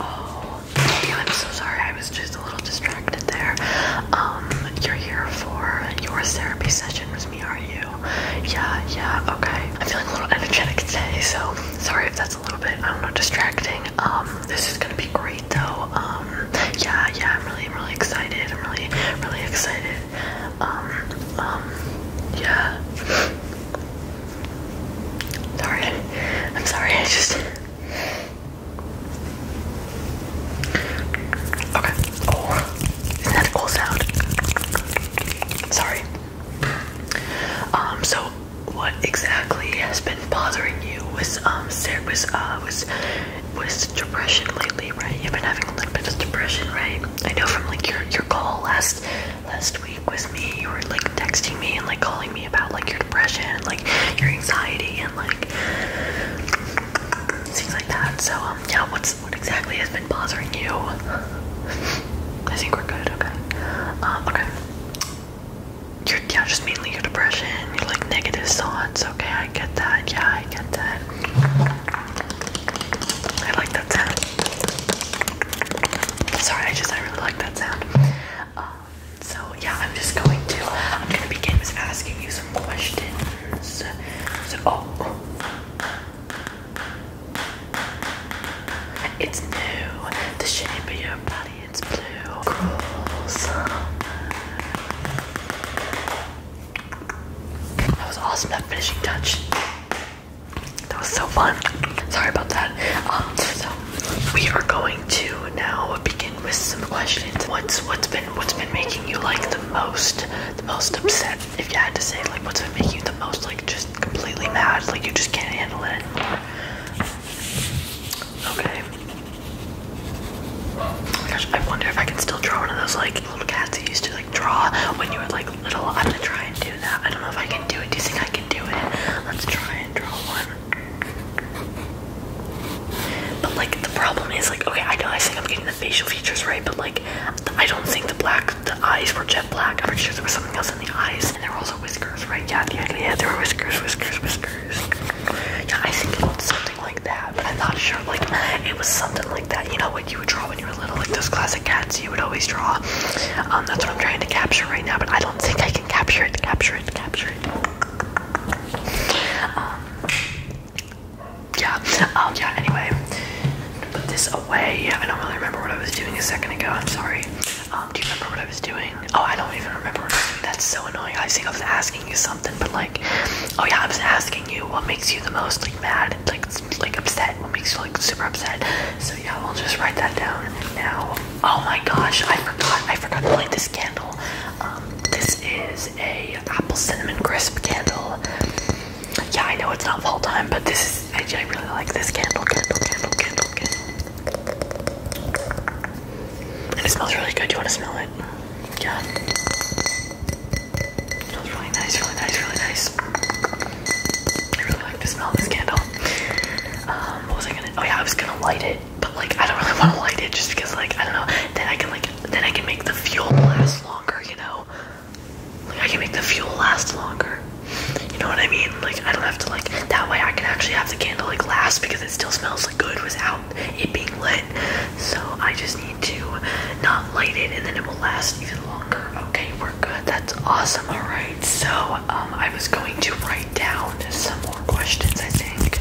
Oh, I'm so sorry. I was just a little distracted there. Um, you're here for your therapy session with me, are you? Yeah, yeah, okay. I'm feeling a little energetic today, so sorry if that's a little bit, I don't know, distracting. Um, this is gonna be great though. Um, yeah, yeah, I'm really, really excited. I'm really, really excited. Um, um, yeah. Sorry, I'm sorry. I just. Okay. Oh, isn't that a cool sound? Sorry. Um. So, what exactly has been bothering you? Was um, was uh, was with depression lately, right? You've been having a little bit of depression, right? I know from like your your call last last week with me, you were like texting me and like calling me about like your depression, and, like your anxiety, and like things like that. So um, yeah, what's what exactly has been bothering you? I think we're good. Okay. Um, okay. you yeah, just mainly your depression, your like negative thoughts Okay, I get that. Yeah, I get that. I like that sound. Sorry, I just I really like that sound. Um, so yeah, I'm just going to I'm gonna begin with asking you some questions. So oh. It's new, the shape of your body, it's blue. Cool summer. That was awesome, that finishing touch. That was so fun. Sorry about that. Um, so we are going to now begin with some questions. What's what's been what's been making you like the most, the most upset? If you had to say, like, what's been making you the most, like, just completely mad, like you just can't handle it anymore. Okay. Oh I wonder if I can still draw one of those like little cats you used to like draw when you were like little. I'm gonna try and do that. I don't know if I can do it. Do you think I can do it? Let's try and draw one. But like the problem is like okay, I know I think I'm getting the facial features right, but like I don't think the black the eyes were jet black. I'm pretty sure there was something else in the eyes, and there were also whiskers, right? Yeah, yeah, yeah. There were whiskers, whiskers, whiskers. Yeah, I think something like that, but I'm not sure. Like, it was something like that. You know what you would draw when you were little, like those classic cats you would always draw. Um, that's what I'm trying to capture right now, but I don't think I can capture it. Capture it. Capture it. Um, yeah. Um, yeah. Anyway, put this away. I don't really remember what I was doing a second ago. I'm sorry. Um, do you remember what I was doing? Oh, I don't even remember That's so annoying. I think I was asking you something, but like like, oh yeah, I was asking you what makes you the most like mad and like like upset, what makes you like super upset. So yeah, we'll just write that down now. Oh my gosh, I forgot, I forgot to light this candle. Um, this is a apple cinnamon crisp candle. Yeah, I know it's not fall time, but this is I, I really like this candle, candle, candle, candle, candle. And it smells really good. Do you want to smell it? Yeah. Smells really nice, really nice, really nice. I really like the smell this candle. Um, what was I gonna? Oh yeah, I was gonna light it, but like I don't really want to light it just because like I don't know. Then I can like then I can make the fuel last longer, you know. Like I can make the fuel last longer. You know what I mean? Like I don't have to like that way. I can actually have the candle like last because it still smells like good without it being lit. So I just need to not light it and then it will last even longer. Okay, we're good. That's awesome. All right. So um, I was going to write down some more questions, I think.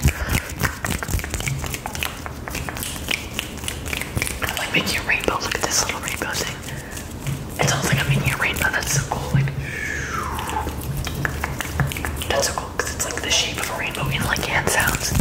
I'm like making a rainbow. Look at this little rainbow thing. It's almost like a mini rainbow. That's so cool. Like, that's so because it's like the shape of a rainbow in like hand sounds.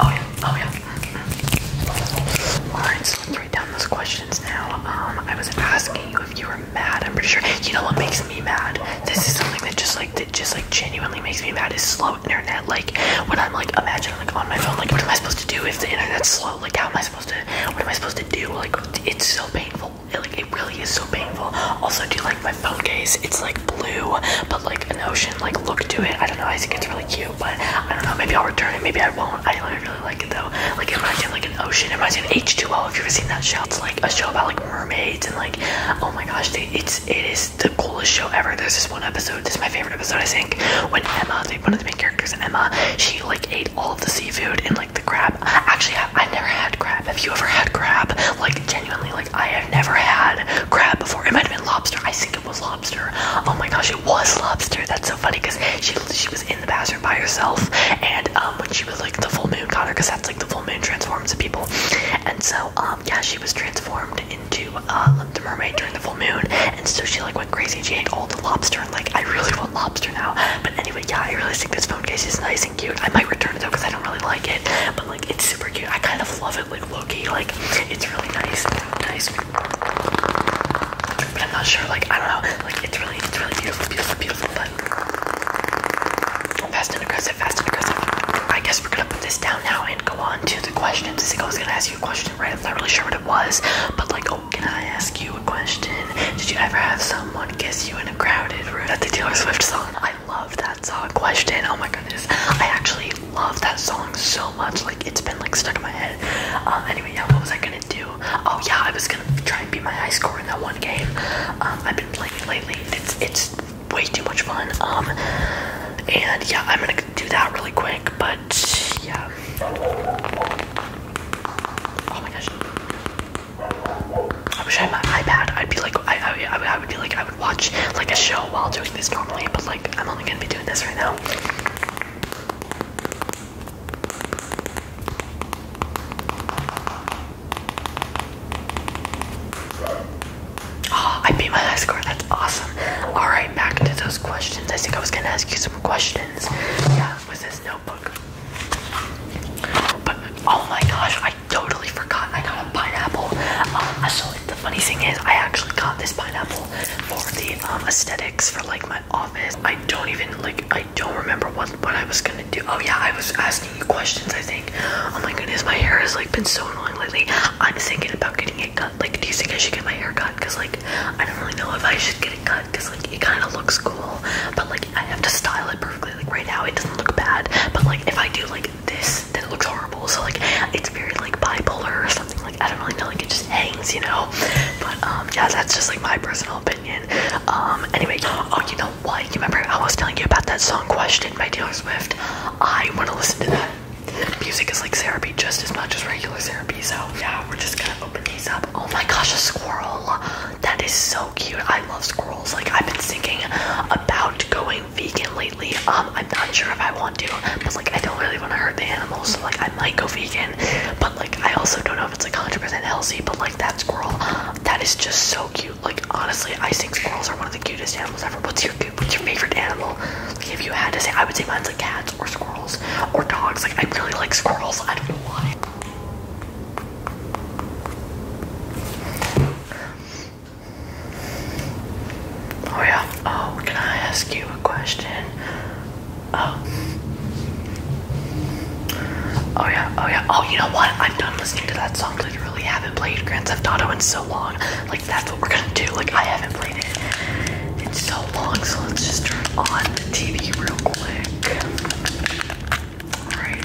Oh yeah, oh yeah. Mm -hmm. Alright, so let's write down those questions now. Um, I was asking you if you were mad. I'm pretty sure you know what makes me mad. This is something that just like that just like genuinely makes me mad is slow internet. Like when I'm like imagine I'm like on my phone, like what am I supposed to do if the internet's slow? Like how am I supposed to what am I supposed to do? Like it's so painful. It, like it really is so painful. Also do you like my phone case, it's like blue, but like an ocean like look to it. I don't know. I think it's really cute, but I don't know. Maybe I'll return it. Maybe I won't. I like, really like it though. Like it reminds me like an ocean. It reminds me of H2O. If you've ever seen that show, it's like a show about like mermaids and like oh my gosh, it's it is the coolest show ever. There's this one episode. This is my favorite episode I think. When Emma, they, one of the main characters, Emma, she like ate all of the seafood and like the crab. Actually, I, I never had crab. Have you ever had crab? Like genuinely, like. I have never had crab before. It might have been lobster. I think it was lobster. Oh my gosh, it was lobster. That's so funny because she she was in the bathroom by herself, and um, when she was like the full moon caught her because that's like the full moon transforms people. And so um, yeah, she was transformed into uh, the mermaid during the full moon, and so she like went crazy. She ate all the lobster, and like I really want lobster now. But anyway, yeah, I really think this phone case is nice and cute. I might return it though because I don't really like it. Like it's super cute. I kind of love it, like Loki. Like it's really nice, nice. But I'm not sure. Like I don't know. Like it's really, it's really beautiful, beautiful, beautiful. But fast and aggressive, fast and aggressive. I guess we're gonna put this down now and go on to the question. questions. I was gonna ask you a question, right? I'm not really sure what it was, but like, oh, can I ask you a question? Did you ever have someone kiss you in a crowded room? That the Taylor Swift song love that song question. Oh my goodness. I actually love that song so much. Like it's been like stuck in my head. Um anyway, yeah, what was I gonna do? Oh yeah, I was gonna try and beat my high score in that one game. Um I've been playing lately. It's it's way too much fun. Um and yeah, I'm gonna do that really quick, but yeah. Oh my gosh. I wish I had my iPad. I'd be like, I, I, I would be like, I would watch like a show while doing this normally, but like, I'm only gonna be doing this right now. Oh, I beat my high score. That's awesome. All right, back to those questions. I think I was gonna ask you some questions. Yeah, with this notebook. But oh my gosh, I totally forgot I got a pineapple. Um, so the funny thing is, I actually got this pineapple for the um, aesthetics for like my office. I don't even like. I don't remember what what I was gonna do. Oh yeah, I was asking you questions. I think. Oh my goodness, my hair has like been so annoying lately. I'm thinking about getting it cut. Like, do you think I should get my hair cut? Cause like, I don't really know if I should get it cut. Cause like, it kind of looks cool, but like, I have to style it perfectly. Like right now, it doesn't look bad. But like, if I do like this that looks horrible. So like it's very like bipolar or something like I don't really know, like it just hangs, you know. But um yeah, that's just like my personal opinion. Um anyway, oh you know what? You remember I was telling you about that song question by Taylor Swift? I wanna listen to that. Music is like therapy just as much as regular therapy, so yeah, we're just gonna open these up. Oh my gosh, a squirrel. That is so cute. I love squirrels. Like I've been thinking about going vegan lately. Um, I'm not sure if I want to, but like I don't really want to hurt the animals, so like I might go vegan. But like I also don't know if it's like 100% healthy. But like that squirrel, that is just so cute. Like honestly, I think squirrels are one of the cutest animals ever. What's your what's your favorite animal? Like if you had to say, I would say mine's like cats or squirrels or dogs. Like I really like squirrels. I don't know why. Oh yeah. Oh, can I ask you a question? Oh. Oh yeah. Oh yeah. Oh, you know what? I'm done listening to that song. Literally, haven't played Grand Theft Auto in so long. Like that's what we're gonna do. Like I haven't played it It's so long. So let's just turn on the TV real quick. All right.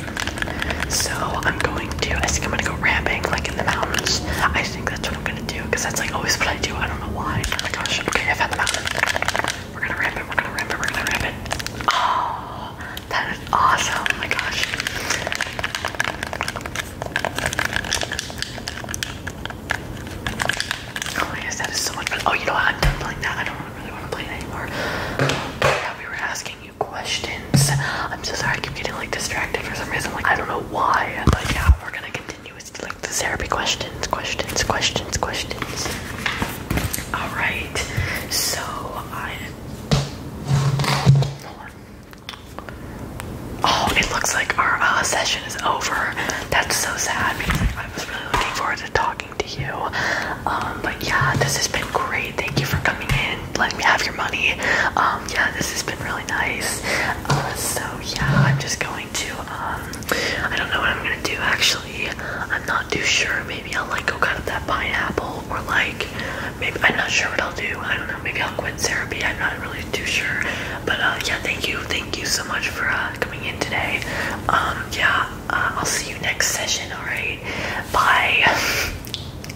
So I'm going to, I think I'm gonna go ramping like in the mountains. I think that's what I'm gonna do because that's like always what I do. I don't know why. Oh my gosh, okay, I found the mountain. We're gonna ramp it, we're gonna ramp it, we're gonna ramp it. Oh, that is awesome. Oh my gosh. Oh my gosh, that is so much fun. Oh, you know what? I'm done playing that. I don't really want to play anymore. Yeah, we were asking you questions. I'm so sorry I keep getting like distracted for some reason. Like I don't know why, but yeah, we're gonna continue with like the therapy questions, questions, questions, questions. All right. So I. Hold Oh, it looks like our uh, session is over. That's so sad because I was really looking forward to talking to you. Um, but yeah, this has been great. Thank you for coming in. Let me have your money. Um, yeah, this has been really nice. Uh, so yeah, I'm just going to. Um, I don't know what I'm gonna do actually. I'm not too sure. Maybe I'll like go cut up that pineapple, or like maybe I'm not sure what I'll do. I don't know. Maybe I'll quit therapy. I'm not really too sure. But uh, yeah, thank you, thank you so much for uh, coming in today. Um, yeah, I'll see you next session. All right, bye.